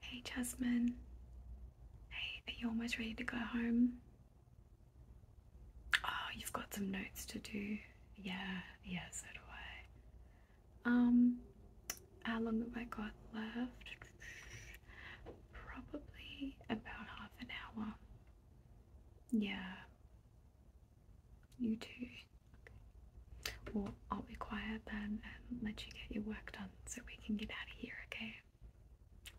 Hey Jasmine. Hey, are you almost ready to go home? Oh, you've got some notes to do. Yeah, yeah, so do I. Um, how long have I got left? Probably about half an hour. Yeah. You too. Okay. Well, I'll be quiet then and let you get your work done so we can get out of here, okay?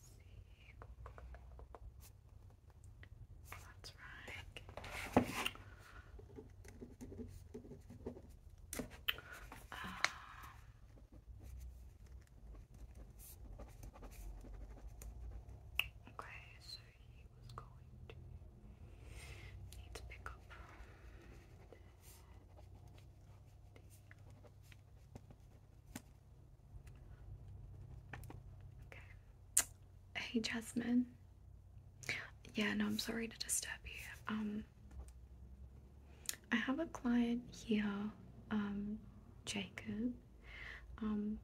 see. That's right. Um, okay, so he was going to need to pick up this. Hey, Jasmine. Yeah, no, I'm sorry to disturb you. Um, I have a client here, um, Jacob. Um,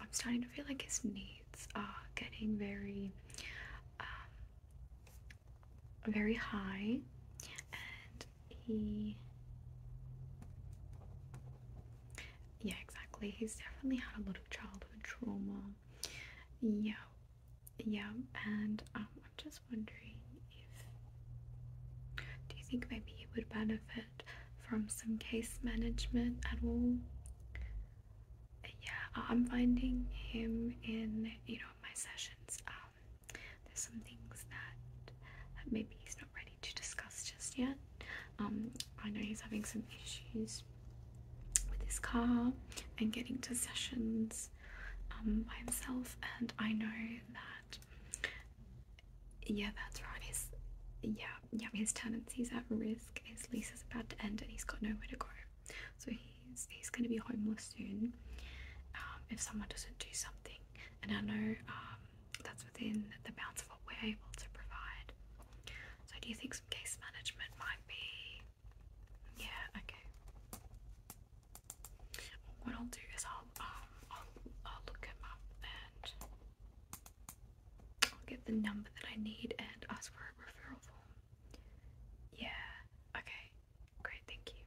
I'm starting to feel like his needs are getting very, um, very high, and he yeah exactly he's definitely had a lot of childhood trauma yeah yeah and um, i'm just wondering if do you think maybe he would benefit from some case management at all yeah i'm finding him in you know my sessions um, there's some things that, that maybe he's not ready to discuss just yet. Um, I know he's having some issues with his car and getting to sessions um, by himself, and I know that. Yeah, that's right. His yeah, yeah, his tenancy's at risk. His lease is about to end, and he's got nowhere to go. So he's he's going to be homeless soon um, if someone doesn't do something and I know um, that's within the bounds of what we're able to provide. So, do you think some case management might be? Yeah, okay. What I'll do is I'll um, I'll, I'll look him up and I'll get the number that I need and ask for a referral form. Yeah. Okay. Great. Thank you.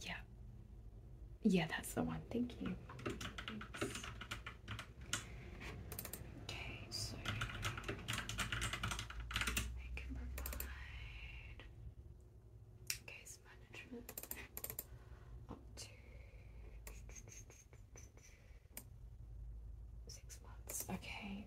Yeah. Yeah, that's the one. Thank you. Okay, so I can provide case management up to six months. Okay.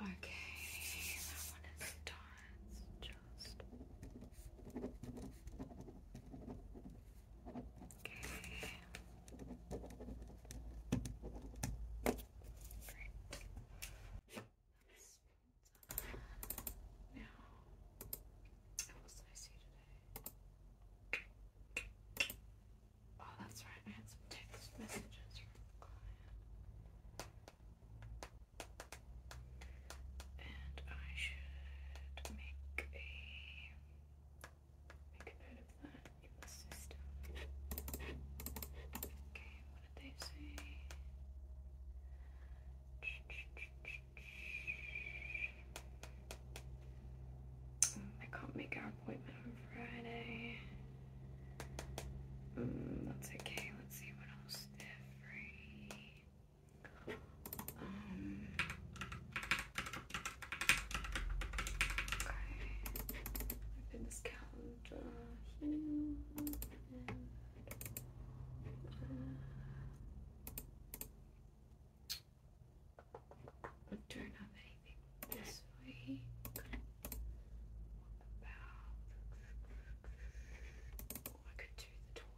Okay, that one is done. Just okay. Now, what did I see today? Oh, that's right. I had some text messages from and I should make a make a note of that in the system. Okay, what did they say? I can't make our appointment on Friday. Mm, that's okay. Let's see what else okay. Open this calendar here. And, uh, anything this way. About. I could do the 12.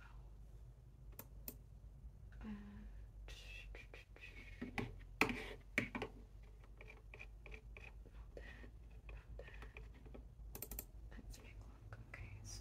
And. Not that. Let's make look. Okay, so.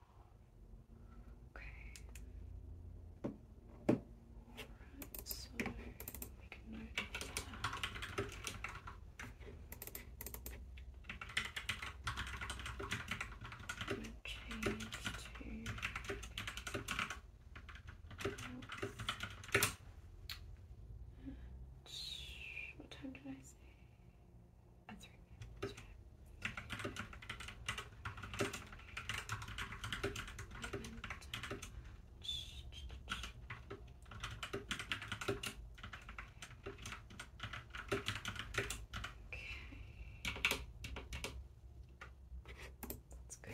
Okay. Alright, so make a note that. I'm change to What time did I say? That's right. Okay. That's good.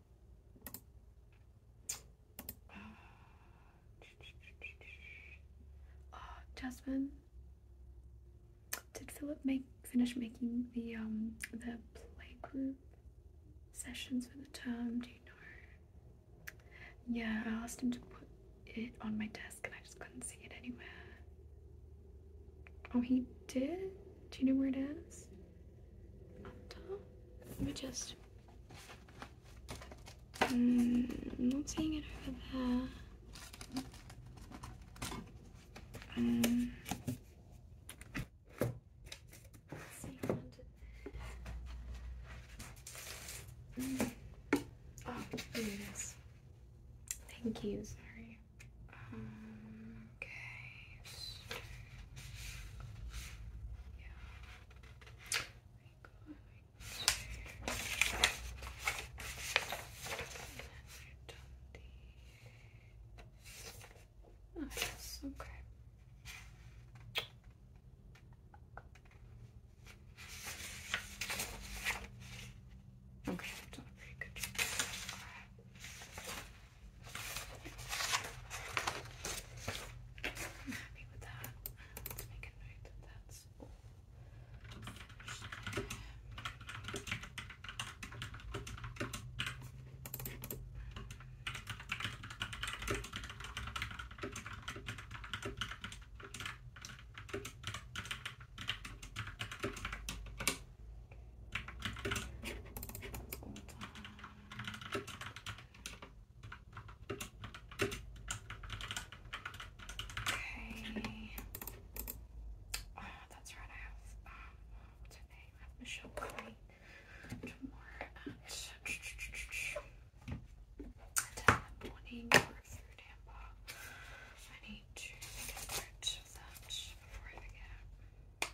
Jasmine, did Philip make finish making the um the playgroup sessions for the term? Do you know? Yeah, I asked him to put it on my desk, and I just couldn't see it anywhere. Oh, he did. Do you know where it is? Let me just. Mm, I'm not seeing it over there. Um. Mm. Oh, Thank you, sorry okay. So, yeah. Go And then we're the. Oh, yes. Okay. Okay, I've done a pretty good job. I'm happy with that. Let's make a note that that's all finished there. Okay. Oh, that's right. I have um, what's her name? I have Michelle Curry tomorrow at ten in the morning or I need to think of of that before I forget.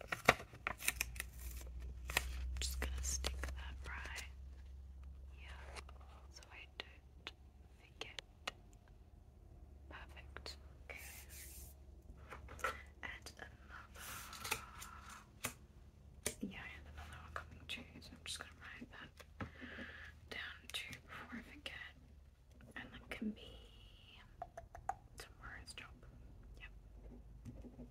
I'm just gonna stick that right here so I don't forget. Perfect. Okay. And another. Yeah, and another one coming too, so I'm just gonna write that down too before I forget. And that can be tomorrow's job. Yep.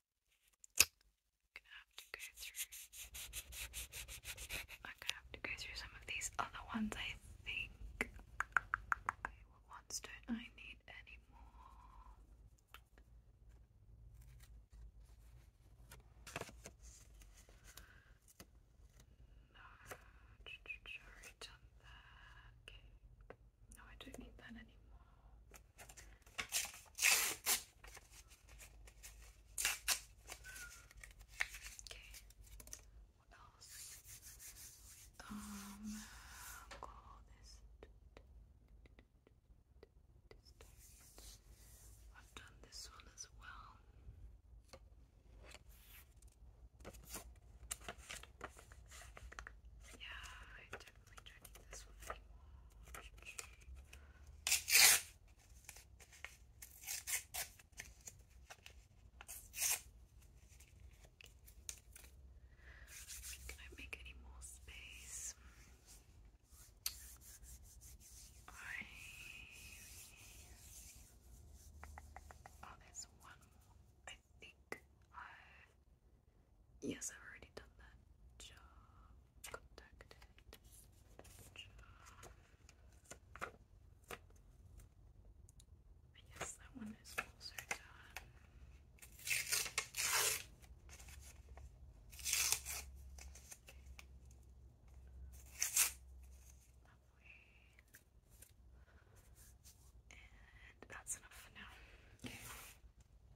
I'm gonna have to go through some of these other ones, I think. what ones don't I need anymore? No, I've already done that. Okay. No, I don't need that anymore. What else? Um, call this. I've done this one as well. Yeah, definitely checking i make any more space. I oh, there's one more. I think i Yes, I've already done that job. Contacted. Job. that one is also done. Okay. that's enough for now.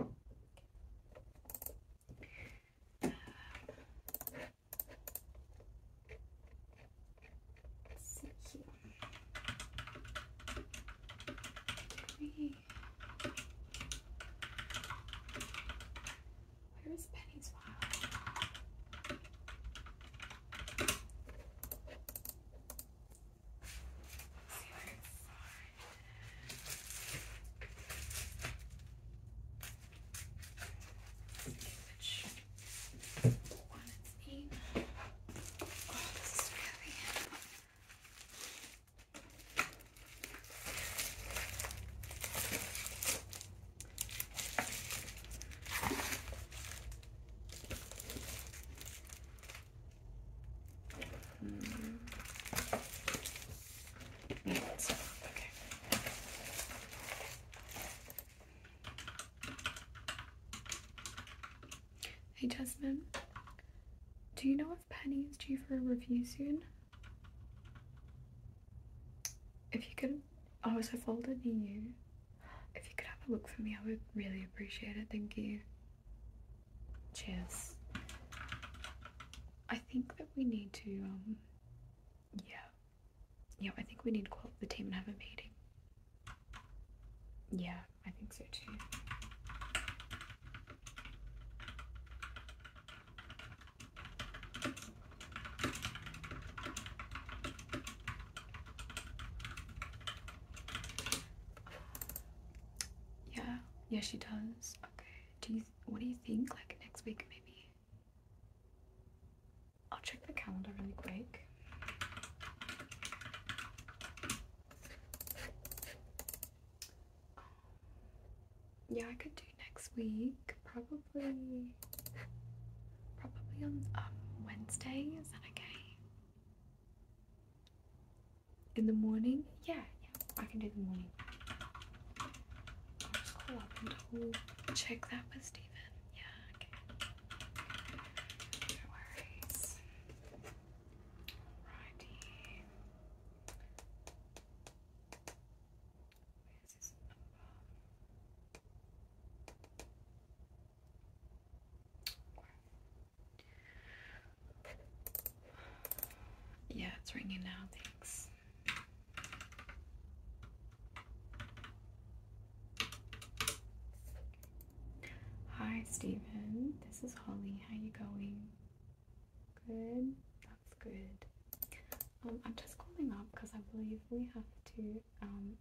Um, let's see here. Three. Where is Penny's file? see what inside. See which one it's in. Oh, this is really Hey Jasmine, do you know if Penny is due for a review soon? If you could, oh, it's her folder near you. If you could have a look for me, I would really appreciate it. Thank you. Cheers. I think that we need to, um, yeah. Yeah, I think we need to call the team and have a meeting. Yeah, I think so too. Yeah, yeah, she does. Okay. Do you? What do you think? Like next week, maybe. I'll check the calendar really quick. Yeah, I could do next week probably probably on um, Wednesday. Is that okay? In the morning? Yeah, yeah, I can do the morning. just call up and check that with Stephen. Yeah, okay. No worries. Alrighty. Where's yeah, it's ringing now. Thanks. Hi, Stephen. This is Holly. How you going? Good. That's good. Um, I'm just calling up because I believe we have to um,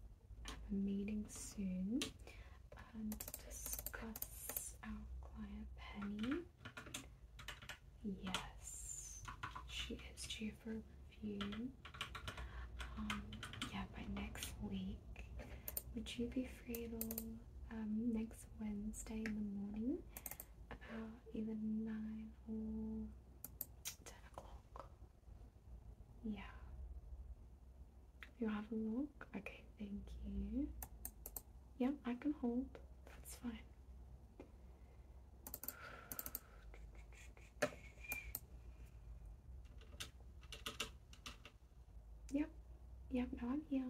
have a meeting soon and um, discuss our client Penny. Yes, she is due for review. Um, yeah, by next week. Would you be free at all um, next Wednesday in the morning about either 9 or 10 o'clock? Yeah. You have a look? Okay, thank you. Yeah, I can hold. That's fine. Yep, yep, now I'm here.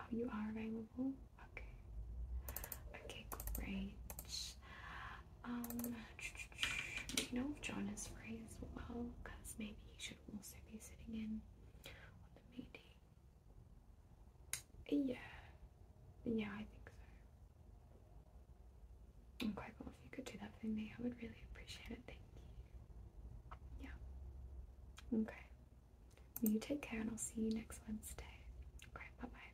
Oh, you are available? Okay. Okay, great. Do um, you know if John is free as well, because maybe he should also be sitting in on the meeting. Yeah, yeah, I think so. i well, if you could do that for me, I would really appreciate it. Thank you. Yeah. Okay. You take care, and I'll see you next Wednesday. Okay. Bye bye.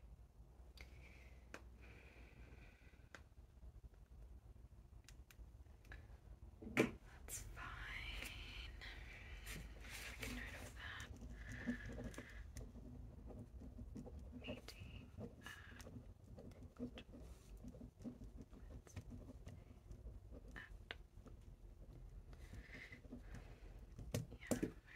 That's fine. Get rid of that. Meeting at. at. Yeah,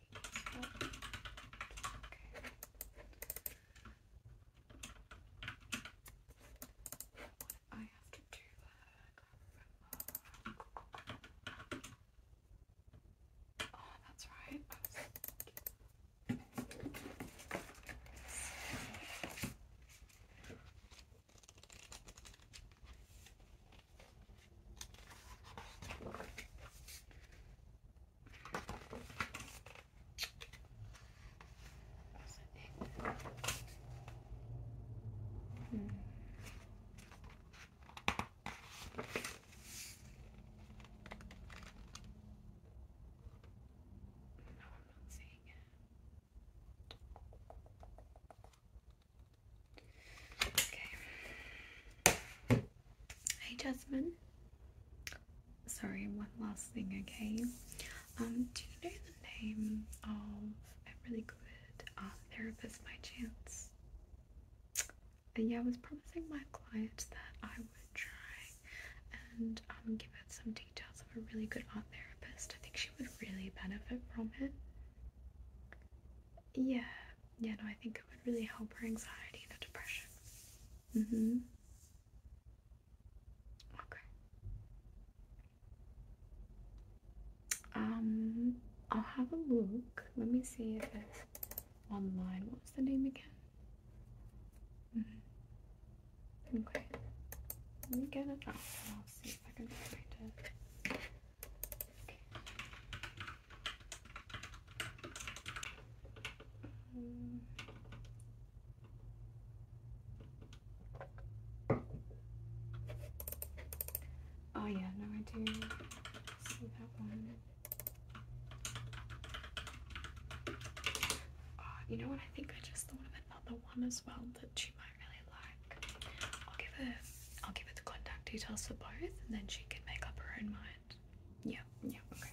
What I have to do, I Oh, uh, that's right. Hmm. No, I'm not seeing it. Hey, Jasmine. Sorry, one last thing, okay? Um, do you know the name of a really good art um, therapist by chance? Uh, yeah, I was promising my client that I would try and um, give her some details of a really good art therapist. I think she would really benefit from it. Yeah, yeah, no, I think it would really help her anxiety and her depression. Mm hmm. Okay. Um, I'll have a look. Let me see if it's online. What was the name again? Mm -hmm. Okay. Let me get it up I'll see if I can find it oh yeah, no, idea. see that one. Oh, you know what? I think I just thought of another one as well that you might really like. I'll give it I'll give her the contact details for both and then she can make up her own mind. Yeah, yeah, okay.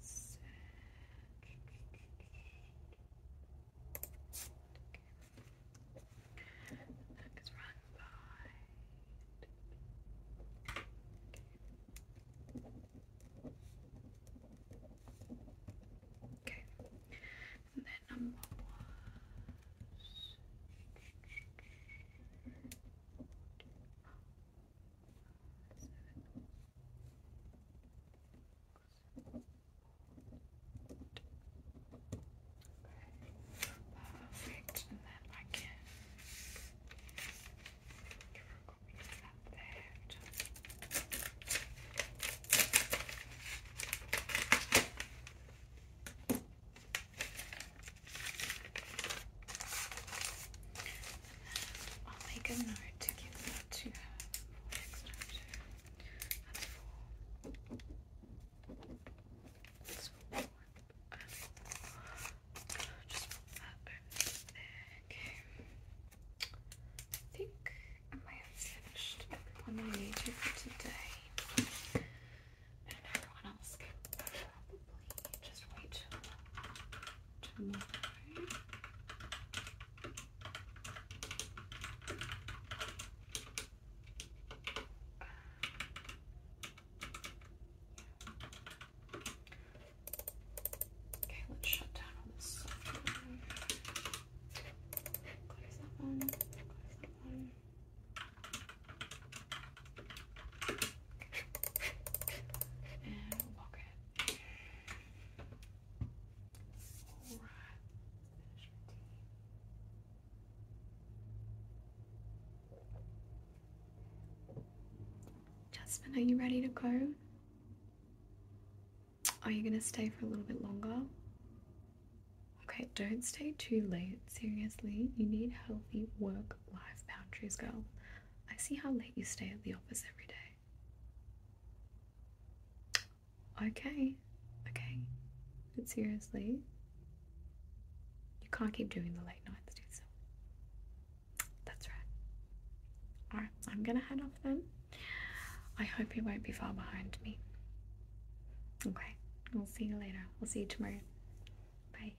this. Okay. The neck is run by. Okay. Okay, and then number one was Perfect, and then I can copy that there. I'll make a note to give that to her for next time. I think I may have finished everyone I needed for today. And everyone else just wait Okay, let's shut down on this software. Close that one. Close that one. And are you ready to go? Are you going to stay for a little bit longer? Okay, don't stay too late. Seriously, you need healthy work life boundaries, girl. I see how late you stay at the office every day. Okay, okay, but seriously, you can't keep doing the late nights, do so. That's right. Alright, I'm gonna head off then. I hope you won't be far behind me. Okay, we will see you later. we will see you tomorrow. Bye.